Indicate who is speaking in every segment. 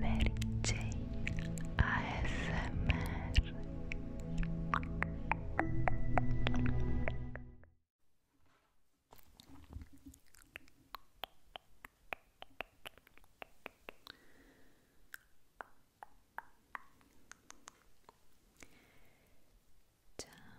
Speaker 1: Mary Jane ASMR Ciao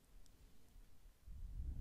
Speaker 1: sospiri e dei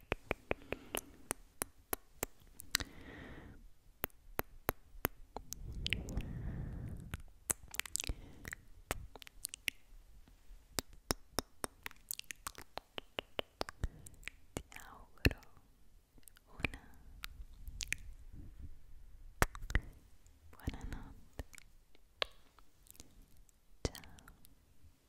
Speaker 1: Te auguro una buena noche. Chao.